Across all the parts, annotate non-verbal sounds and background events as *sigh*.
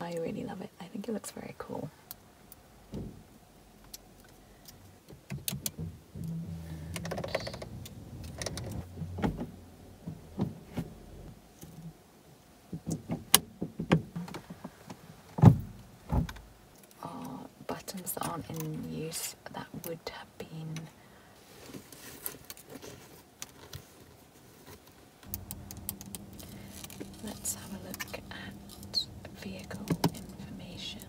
I really love it. I think it looks very cool. buttons that aren't in use that would have been Let's have a look at vehicle information.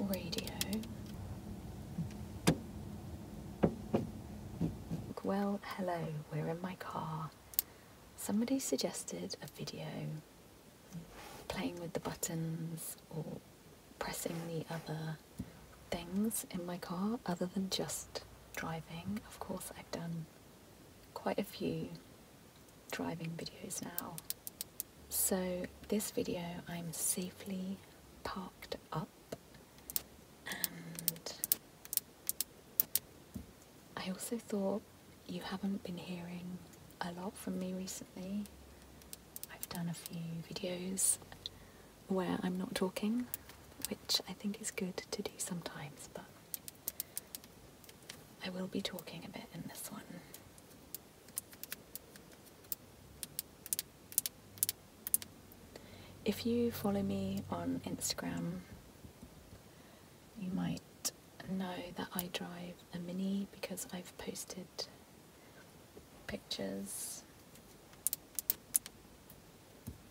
Radio. Well, hello, we're in my car. Somebody suggested a video playing with the buttons or pressing the other things in my car other than just driving. Of course, I've done quite a few driving videos now. So, this video I'm safely parked up and I also thought you haven't been hearing a lot from me recently. I've done a few videos where I'm not talking, which I think is good to do sometimes, but I will be talking a bit in this one. If you follow me on Instagram, you might know that I drive a Mini because I've posted pictures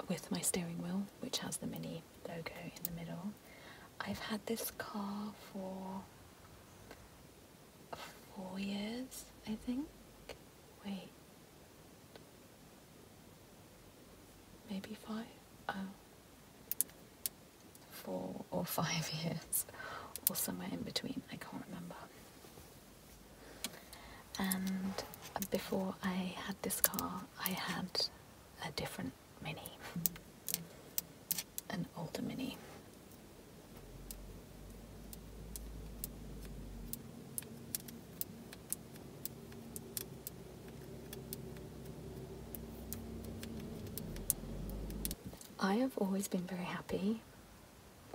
with my steering wheel, which has the Mini logo in the middle. I've had this car for four years, I think. Wait. Maybe five? Oh four or five *laughs* years, or somewhere in between, I can't remember. And before I had this car, I had a different Mini, an older Mini. I have always been very happy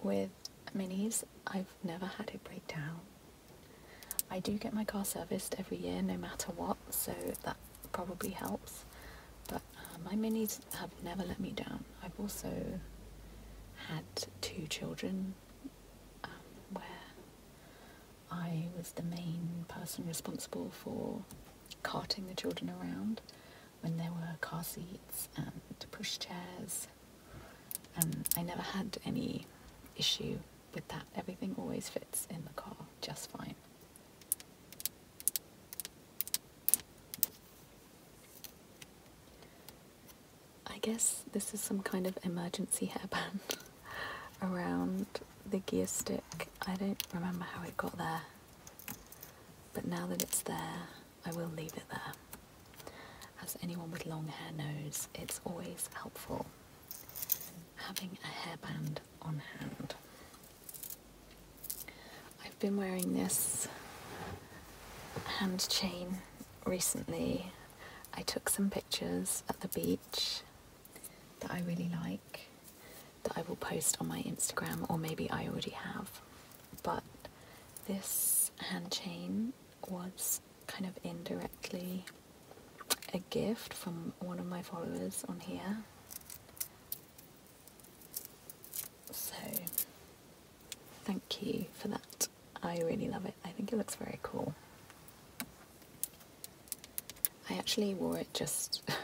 with minis. I've never had it break down. I do get my car serviced every year no matter what, so that probably helps. But uh, my minis have never let me down. I've also had two children um, where I was the main person responsible for carting the children around when there were car seats and push chairs. Um, I never had any issue with that. Everything always fits in the car just fine. I guess this is some kind of emergency hairband *laughs* around the gear stick. I don't remember how it got there. But now that it's there, I will leave it there. As anyone with long hair knows, it's always helpful having a hairband on hand. I've been wearing this hand chain recently. I took some pictures at the beach that I really like that I will post on my Instagram, or maybe I already have. But this hand chain was kind of indirectly a gift from one of my followers on here. So, thank you for that. I really love it. I think it looks very cool. I actually wore it just *laughs*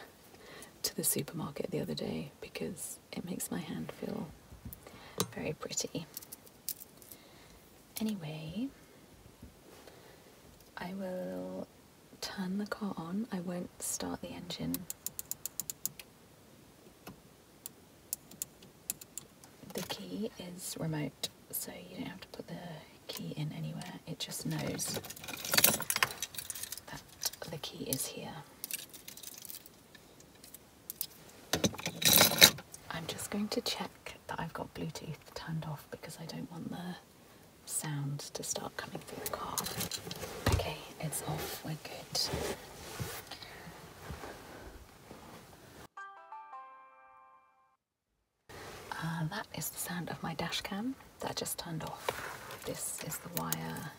to the supermarket the other day because it makes my hand feel very pretty. Anyway, I will turn the car on. I won't start the engine. The key is remote, so you don't have to put the key in anywhere. It just knows that the key is here. I'm just going to check that I've got Bluetooth turned off because I don't want the sound to start coming through the car. Okay, it's off, we're good. Uh, that is the sound of my dash cam that just turned off. This is the wire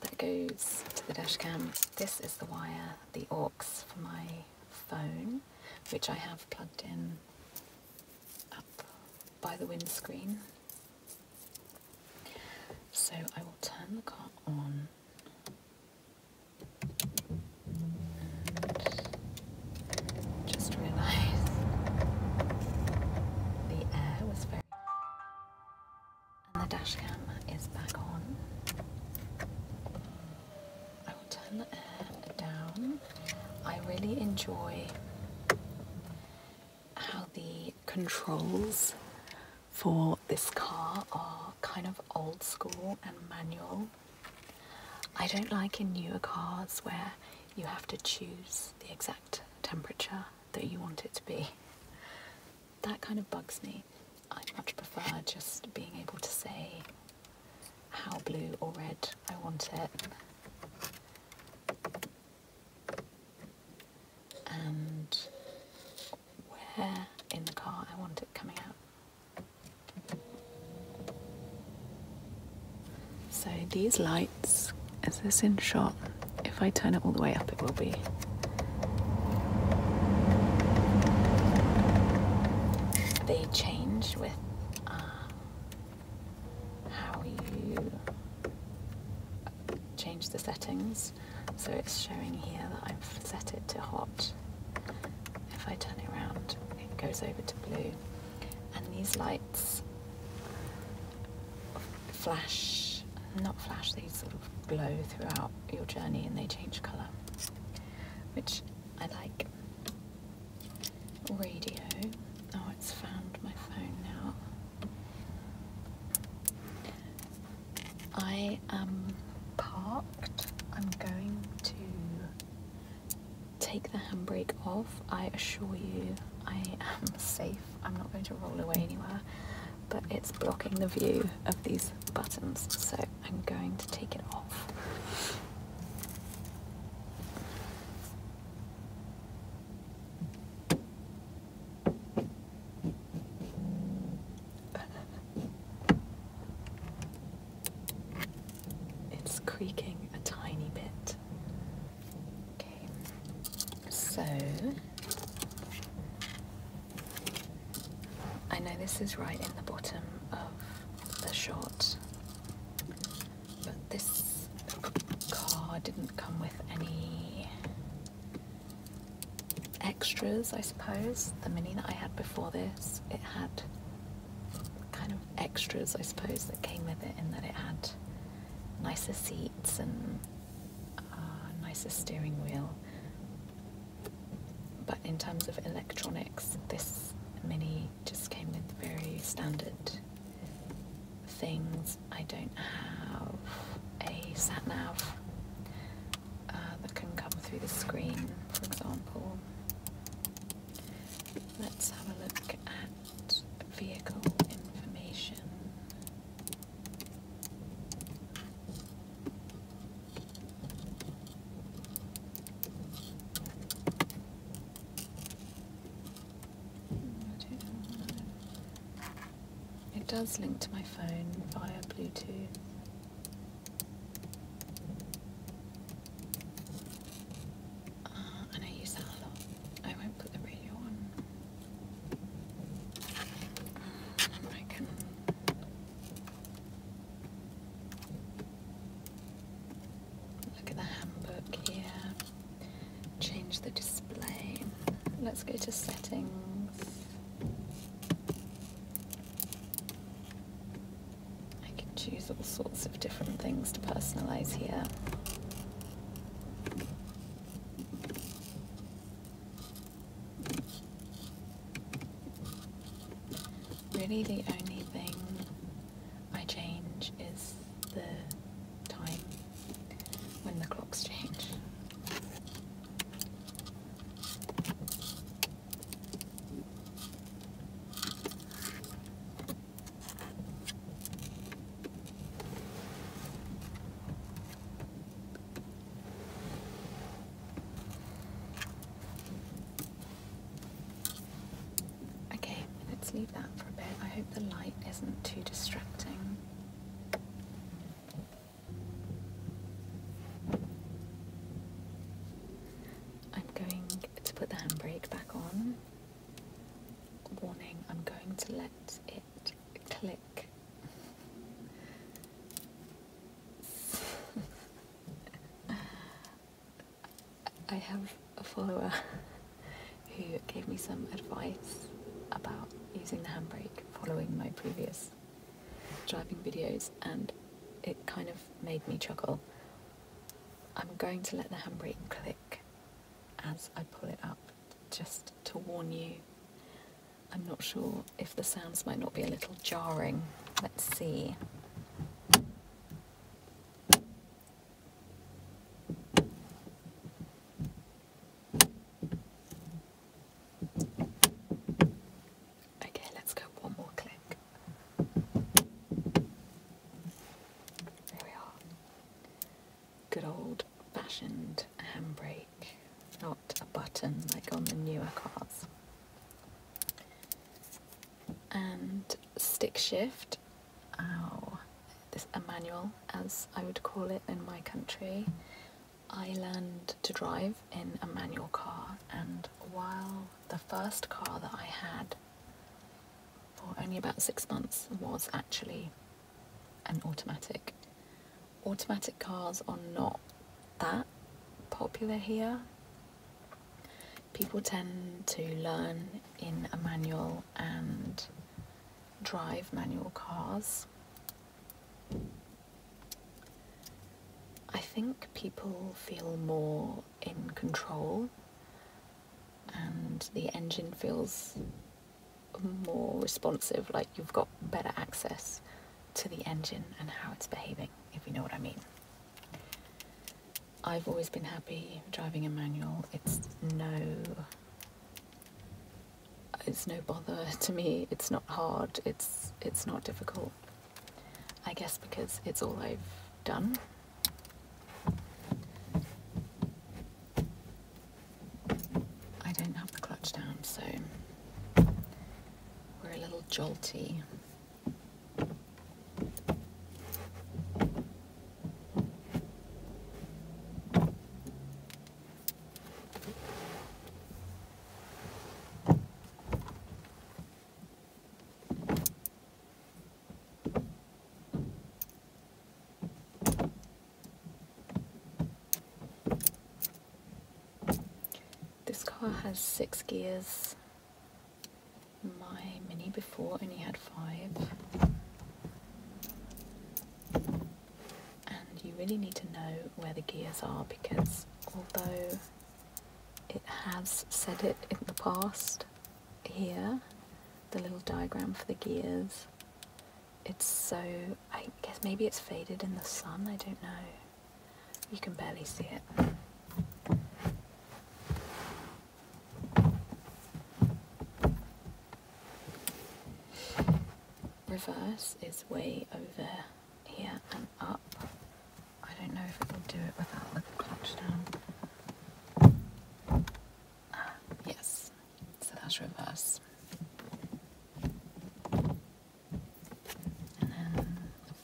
that goes to the dash cam. This is the wire, the aux for my phone, which I have plugged in up by the windscreen. So I will turn the car on. just realised the air was very the dash cam is back on. I will turn the air down. I really enjoy how the controls for this car are kind of old school and manual. I don't like in newer cars where you have to choose the exact temperature that you want it to be. That kind of bugs me. I much prefer just being able to say how blue or red I want it. And where in the car I want it coming out. So these lights lights. Is this in shot? If I turn it all the way up, it will be. They change with uh, how you change the settings. So it's showing here that I've set it to hot. If I turn it around, it goes over to blue. And these lights flash, not flash, they sort of glow throughout your journey and they change colour, which I like. Radio, oh, it's found my phone now. I am parked. I'm going to take the handbrake off. I assure you, I am *laughs* safe I'm not going to roll away anywhere, but it's blocking the view of these buttons, so I'm going to take it off. *laughs* It's creaking a tiny bit. Okay, so I know this is right in the bottom of the shot, but this car didn't come with any extras, I suppose. The Mini that I had before this, it had kind of extras, I suppose, that came with it in that it had nicer seats and Ah, nicest steering wheel. But in terms of electronics, this Mini just came with very standard things. I don't have a sat nav uh, that can come through the screen, for example. Let's have a look at vehicle information. It does link to my phone via Bluetooth. Uh, and I use a lot. I might put the radio on. I can. Look at the handbook here. Change the display. Let's go to settings. I can choose all sorts of different things to personalize here. Really the only thing I change is the time when the clocks change. Okay, let's leave that for a bit. I hope the light isn't too distracting. I'm going to put the handbrake back on. Warning, I'm going to let it click. *laughs* I have a follower who gave me some advice about using the handbrake following my previous driving videos, and it kind of made me chuckle. I'm going to let the handbrake click as I pull it up, just to warn you. I'm not sure if the sounds might not be a little jarring. Let's see. Okay, let's go one more click. There we are good old fashioned handbrake, not a button like on the newer cars. And stick shift, oh, this a manual as I would call it in my country. I learned to drive in a manual car, and while the first car that I had for only about six months was actually and automatic. Automatic cars are not that popular here. People tend to learn in a manual and drive manual cars. I think people feel more in control and the engine feels more responsive, like you've got better access to the engine and how it's behaving, if you know what I mean. I've always been happy driving a manual. It's no it's no bother *laughs* to me. It's not hard. It's it's not difficult. I guess because it's all I've done. I don't have the clutch down, so we're a little jolty. This car has six gears. My Mini before only had five. And you really need to know where the gears are because although it has said it in the past here, the little diagram for the gears, it's so I guess maybe it's faded in the sun I don't know you can barely see it reverse is way over here and up I don't know if it will do it without the clutch down ah, yes so that's reverse. And then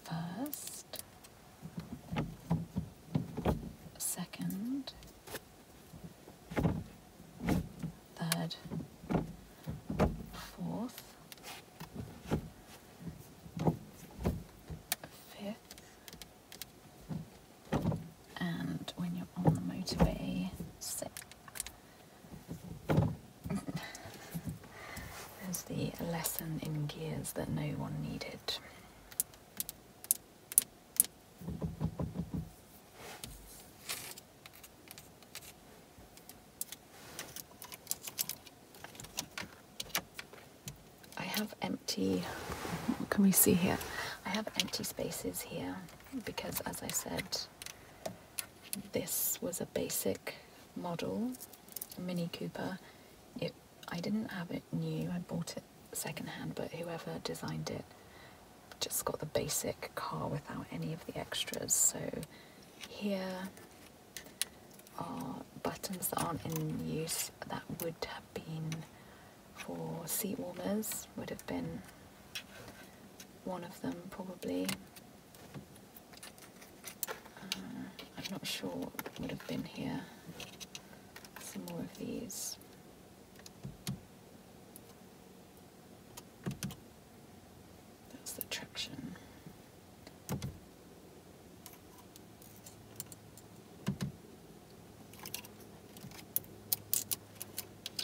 first, second, third, fourth, fifth, and when you're on the motorway, sixth. There's the lesson in gears that no one needed. I have empty, what can we see here? I have empty spaces here because as I said, this was a basic model, Mini Cooper. It I didn't have it new. I bought it secondhand, but whoever designed it just got the basic car without any of the extras. So here are buttons that aren't in use that would have been for seat warmers, would have been one of them probably. Uh, I'm not sure what would have been here. Some more of these. That's the traction.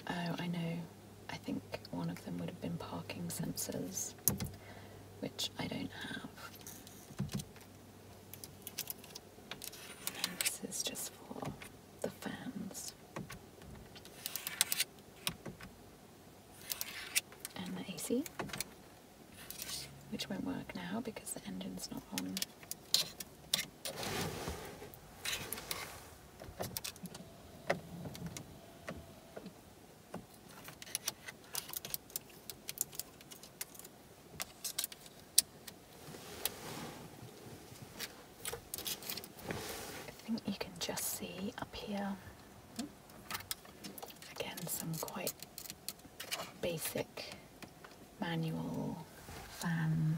Oh, I know. I think one of them would have been parking sensors, which I don't have. this is just for the fans. And the AC, which won't work now because the engine's not on. I think you can just see up here again some quite basic manual fan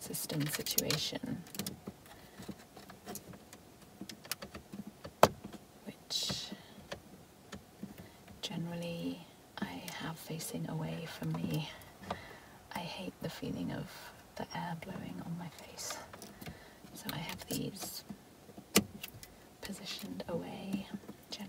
system situation which generally I have facing away from me. I hate the feeling of the air blowing on my face. So I have these positioned away generally.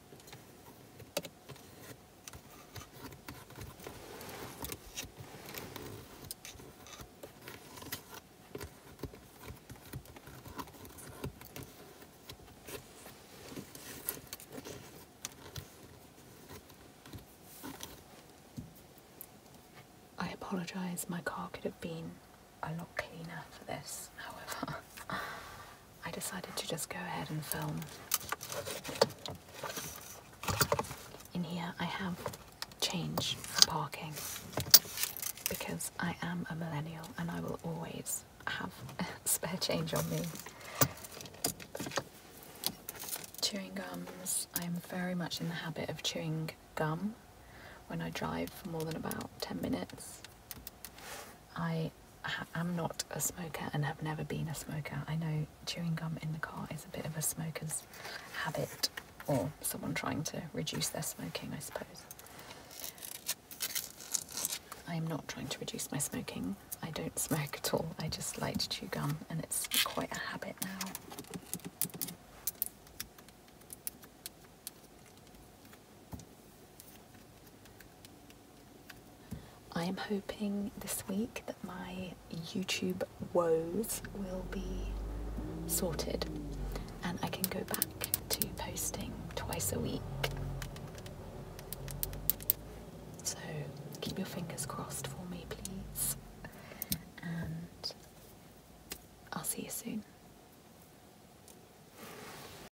I apologise, my car could have been a lot cleaner for this, however. *laughs* I decided to just go ahead and film. In here, I have change for parking because I am a millennial and I will always have *laughs* spare change on me. Chewing gums, I'm very much in the habit of chewing gum when I drive for more than about 10 minutes. I I am not a smoker and have never been a smoker. I know chewing gum in the car is a bit of a smoker's habit or someone trying to reduce their smoking, I suppose. I am not trying to reduce my smoking. I don't smoke at all. I just like to chew gum and it's quite a habit now. I am hoping this week that my YouTube woes will be sorted and I can go back to posting twice a week. So keep your fingers crossed for me, please. And I'll see you soon.